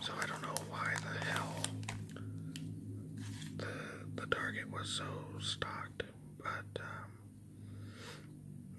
So I don't know why the hell the the target was so stocked, but um,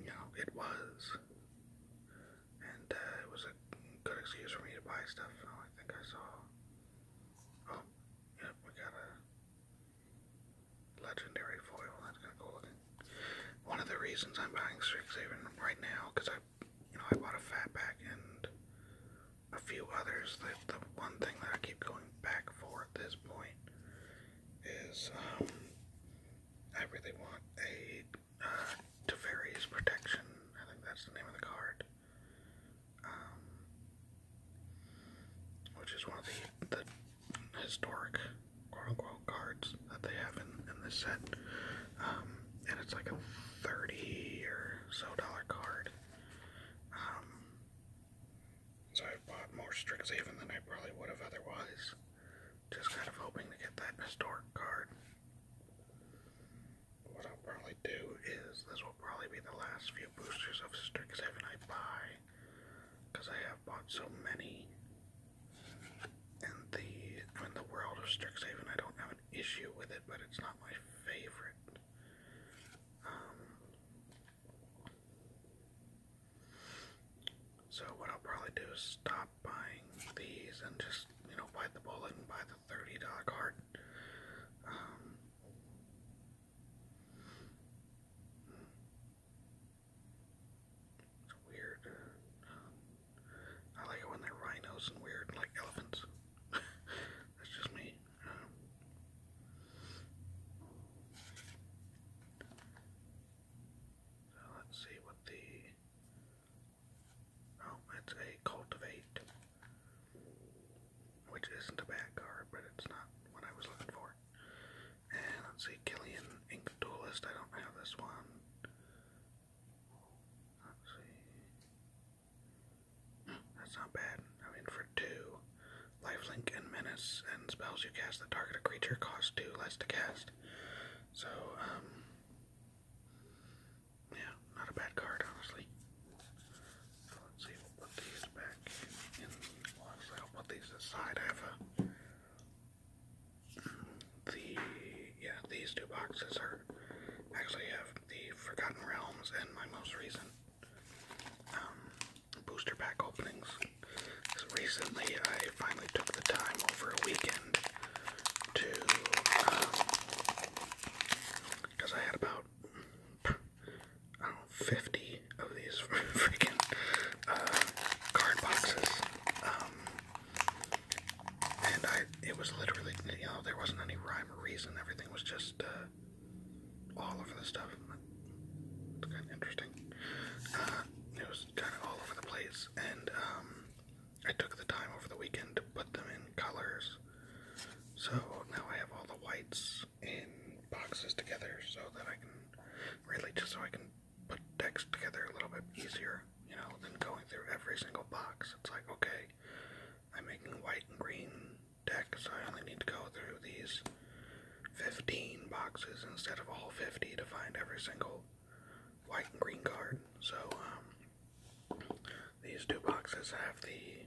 you know it was, and uh, it was a good excuse for me to buy stuff. Oh, I think I saw. Oh, yep, we got a legendary foil. That's kind of cool looking. One of the reasons I'm buying Strixhaven right now because I you know, I bought a Fatback and a few others. The, the one thing that I keep going back for at this point is um, I really want a uh, Protection. I think that's the name of the card. Um, which is one of the, the historic quote unquote cards that they have in, in this set. Um, and it's like a 30 or so dollar card. Um, so I bought more Strixhaven than I probably would have otherwise. Just kind of hoping to get that historic card. What I'll probably do is this will probably be the last few boosters of Strixhaven I buy. Because I have bought so many and the I the world of Strixhaven I don't have an issue with it, but it's not my favorite. Um, so what I'll probably do is stop buying these and just you know bite the bullet and buy the thirty dollar card. Um, it's weird. Um, I like it when they're rhinos and weird, like elephants. That's just me. so let's see what the. Oh, it's a cultivate, which isn't a bad card, but it's not what I was looking for. And let's see, Killian Ink I don't have this one. That's not bad. I mean, for two, Life Link and menace and spells you cast that target a creature cost two less to cast. So, um, yeah, not a bad card, honestly. let's see, put these back in. Well, put these aside. I the yeah these two boxes are actually have the Forgotten Realms and my most recent um, booster pack openings. recently, I finally took the time over a weekend to because um, I had about I don't know, fifty of these freaking uh, card boxes. Um, and I it was literally you know there wasn't any rhyme or reason. Everything was just uh, all over the stuff. It's kind of interesting. Uh, it was kind of all over the place, and um, I took the time over the weekend to put them in colors. So now I have all the whites in boxes together, so that I can really just so I can put decks together a little bit easier, you know, than going through every single box. It's like, okay, I'm making white and green decks, so I only need to go through these 15 boxes instead of all 50 to find every single white and green card. So, um, these two boxes have the,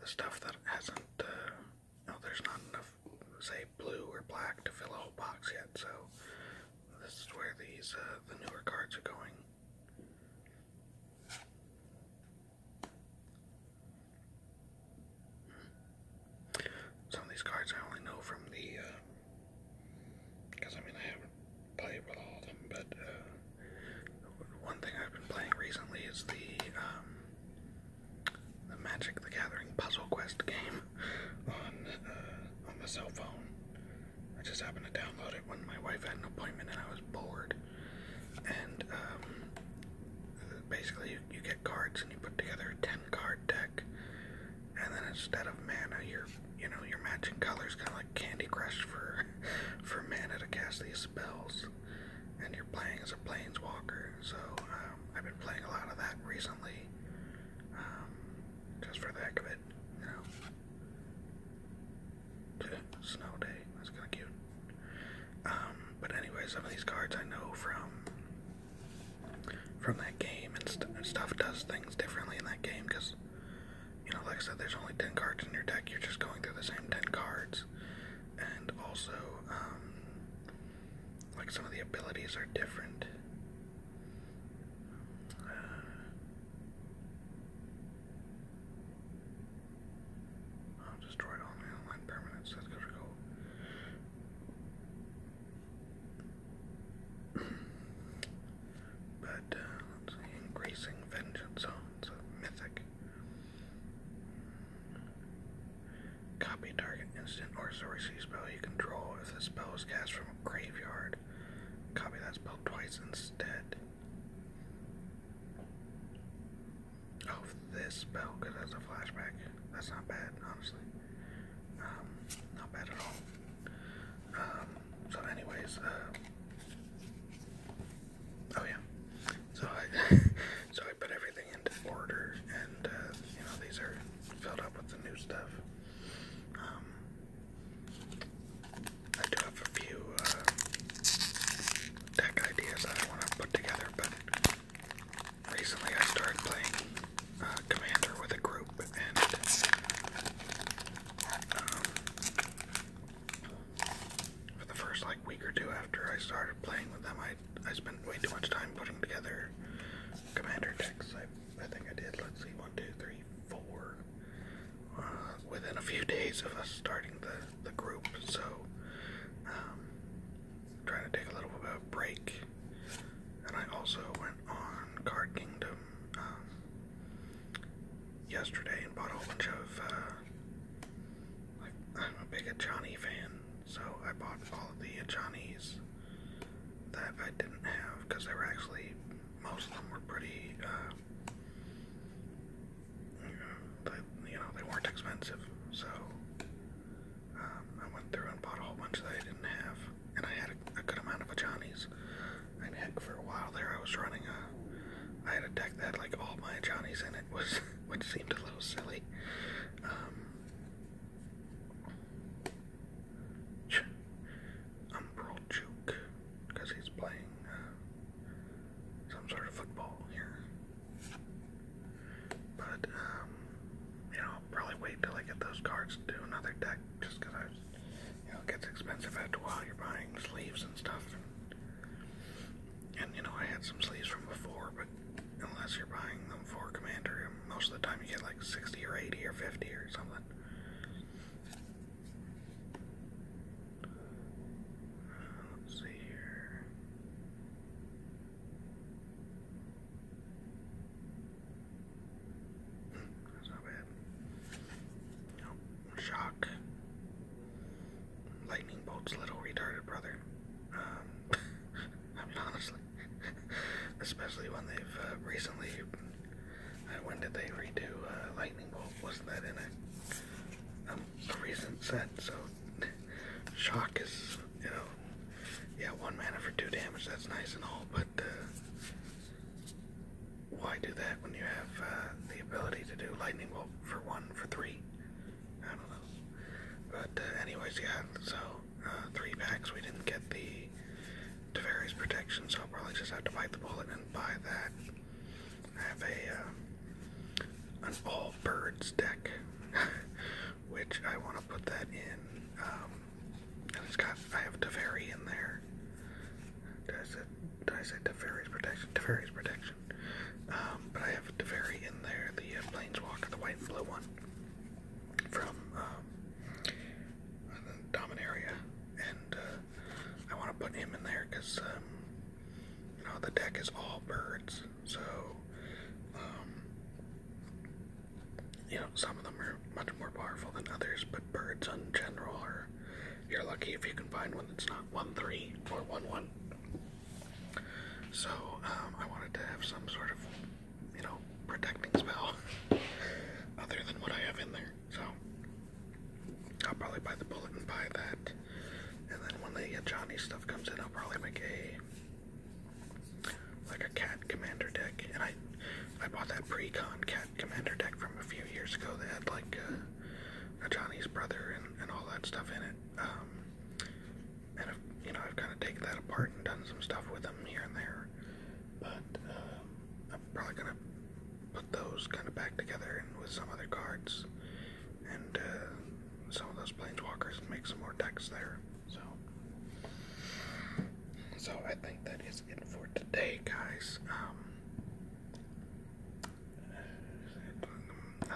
the stuff that hasn't, uh, no, there's not enough, say, blue or black to fill a whole box yet, so this is where these uh, the newer cards are going. Some of these cards I only know from the, because uh, I mean I haven't played with all of them, but uh, one thing I've been playing recently is the um, the Magic the Gathering Puzzle Quest game on on the cell phone. I just happened to download it when my wife had an appointment and I was bored. And um, basically, you, you get cards and you put together a ten-card deck. And then instead of mana, you're you know you're matching colors, kind of like Candy Crush for for mana to cast these spells. And you're playing as a planeswalker. So um, I've been playing a lot of that recently, um, just for the heck of it it now. snow day. That's kind of cute. Um, but anyway, some of these cards I know from from that game and, stuff does things differently in that game because, you know, like I said, there's only ten cards in your deck. You're just going through the same ten cards, and also, um, like some of the abilities are different. Uh, I've destroyed all my online permanents. That's gonna go. but increasing vengeance zones mythic. Copy target instant sorcery spell you control if the spell is cast from graveyard. Copy that spell twice instead. Oh, this spell, because that's a flashback. That's not bad, honestly. Um, not bad at all. Um, so anyways, uh, oh yeah. So I, so I put everything into order, and, uh, you know, these are filled up with the new stuff. Um, I do have a few uh, deck ideas that I want to put together, but recently I started playing uh, Commander with a group, and um, for the first like week or two after I started playing with them, I I spent way too much time putting together Commander decks. I I think I did. Let's see, one, two, three four uh, within a few days of us starting the, the group. So, um, trying to take a little bit of a break. And I also went on Card Kingdom um, yesterday and bought a bunch of. Uh, I'm a big Ajani fan, so I bought all the Ajani's that I didn't have because they were actually most of them were pretty. Uh, you know, they, you know they weren't expensive, so um, I went through and bought a whole bunch that I didn't have, and I had a, a good amount of Johnny's. And heck, for a while there, I was running a. I had a deck that had like all my Johnny's in it, was which seemed a little silly. Um, Umbral Juke, because he's playing uh, some sort of football here. But, um, you know, I'll probably wait till I get those cards to do another deck, just because I, you know, it gets expensive after a while. You're buying sleeves and stuff. And, and, you know, I had some sleeves from before, but unless you're buying them for Commander, most of the time you get like 60 or 80 or 50 or something. Let's see here. That's not bad. Nope. Shock. Lightning bolt's little retarded brother. Um, I mean, honestly. especially when they've uh, recently. Uh, when did they redo uh, Lightning Bolt? Wasn't that in a, um, a recent set? So shock is you know yeah one mana for two damage. That's nice and all, but uh, why do that when you have uh, the ability to do Lightning Bolt for one for three? I don't know. But uh, anyways, yeah. So three packs. We didn't get the Teferi's protection, so I'll probably just have to bite the bullet and buy that. have a uh, an all birds deck, which I want to put that in. Um, and it's got I have Teferi in there. Did I say, did I say Teferi's protection? Teferi's protection. Um, but I have Teferi in there, the uh, Planeswalker, the white and blue one from um, uh, Dominaria, and I want to put him in there because um, you know the deck is all birds, so um, you know some of them are much more powerful than others, but birds in general are you're lucky if you can find one that's not one three or one one. So um, I wanted to have some sort of you know, protecting spell other than what I have in there. So I'll probably buy the bullet and buy that. And then when the Johnny stuff comes in, I'll probably make a like a cat commander deck. And I I bought that pre-con cat commander deck from a few years ago that had like uh, a, Johnny's brother and, and all that stuff in it. Um, and you know I've kind of taken that apart and done some stuff with them here and there but um, I'm probably gonna put those kind of back together and with some other cards and uh, some of those planeswalkers make some more decks there. So, so I think that is it for today, guys. I um,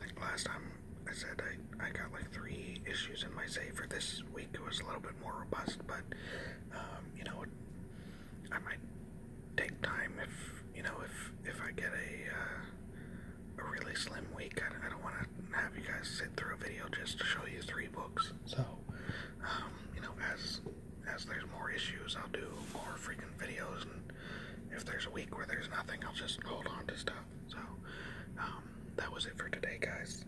think last time I said I, I got like three issues in my save for this week. It was a little bit more robust, but um, you know, I might take time if you know if if I get a uh, a really slim week. I, don't want to have you guys sit through a video just to show you three books. So um, you know, as as there's more issues, I'll do more freaking videos, and if there's a week where there's nothing, I'll just hold on to stuff. So um, that was it for today, guys.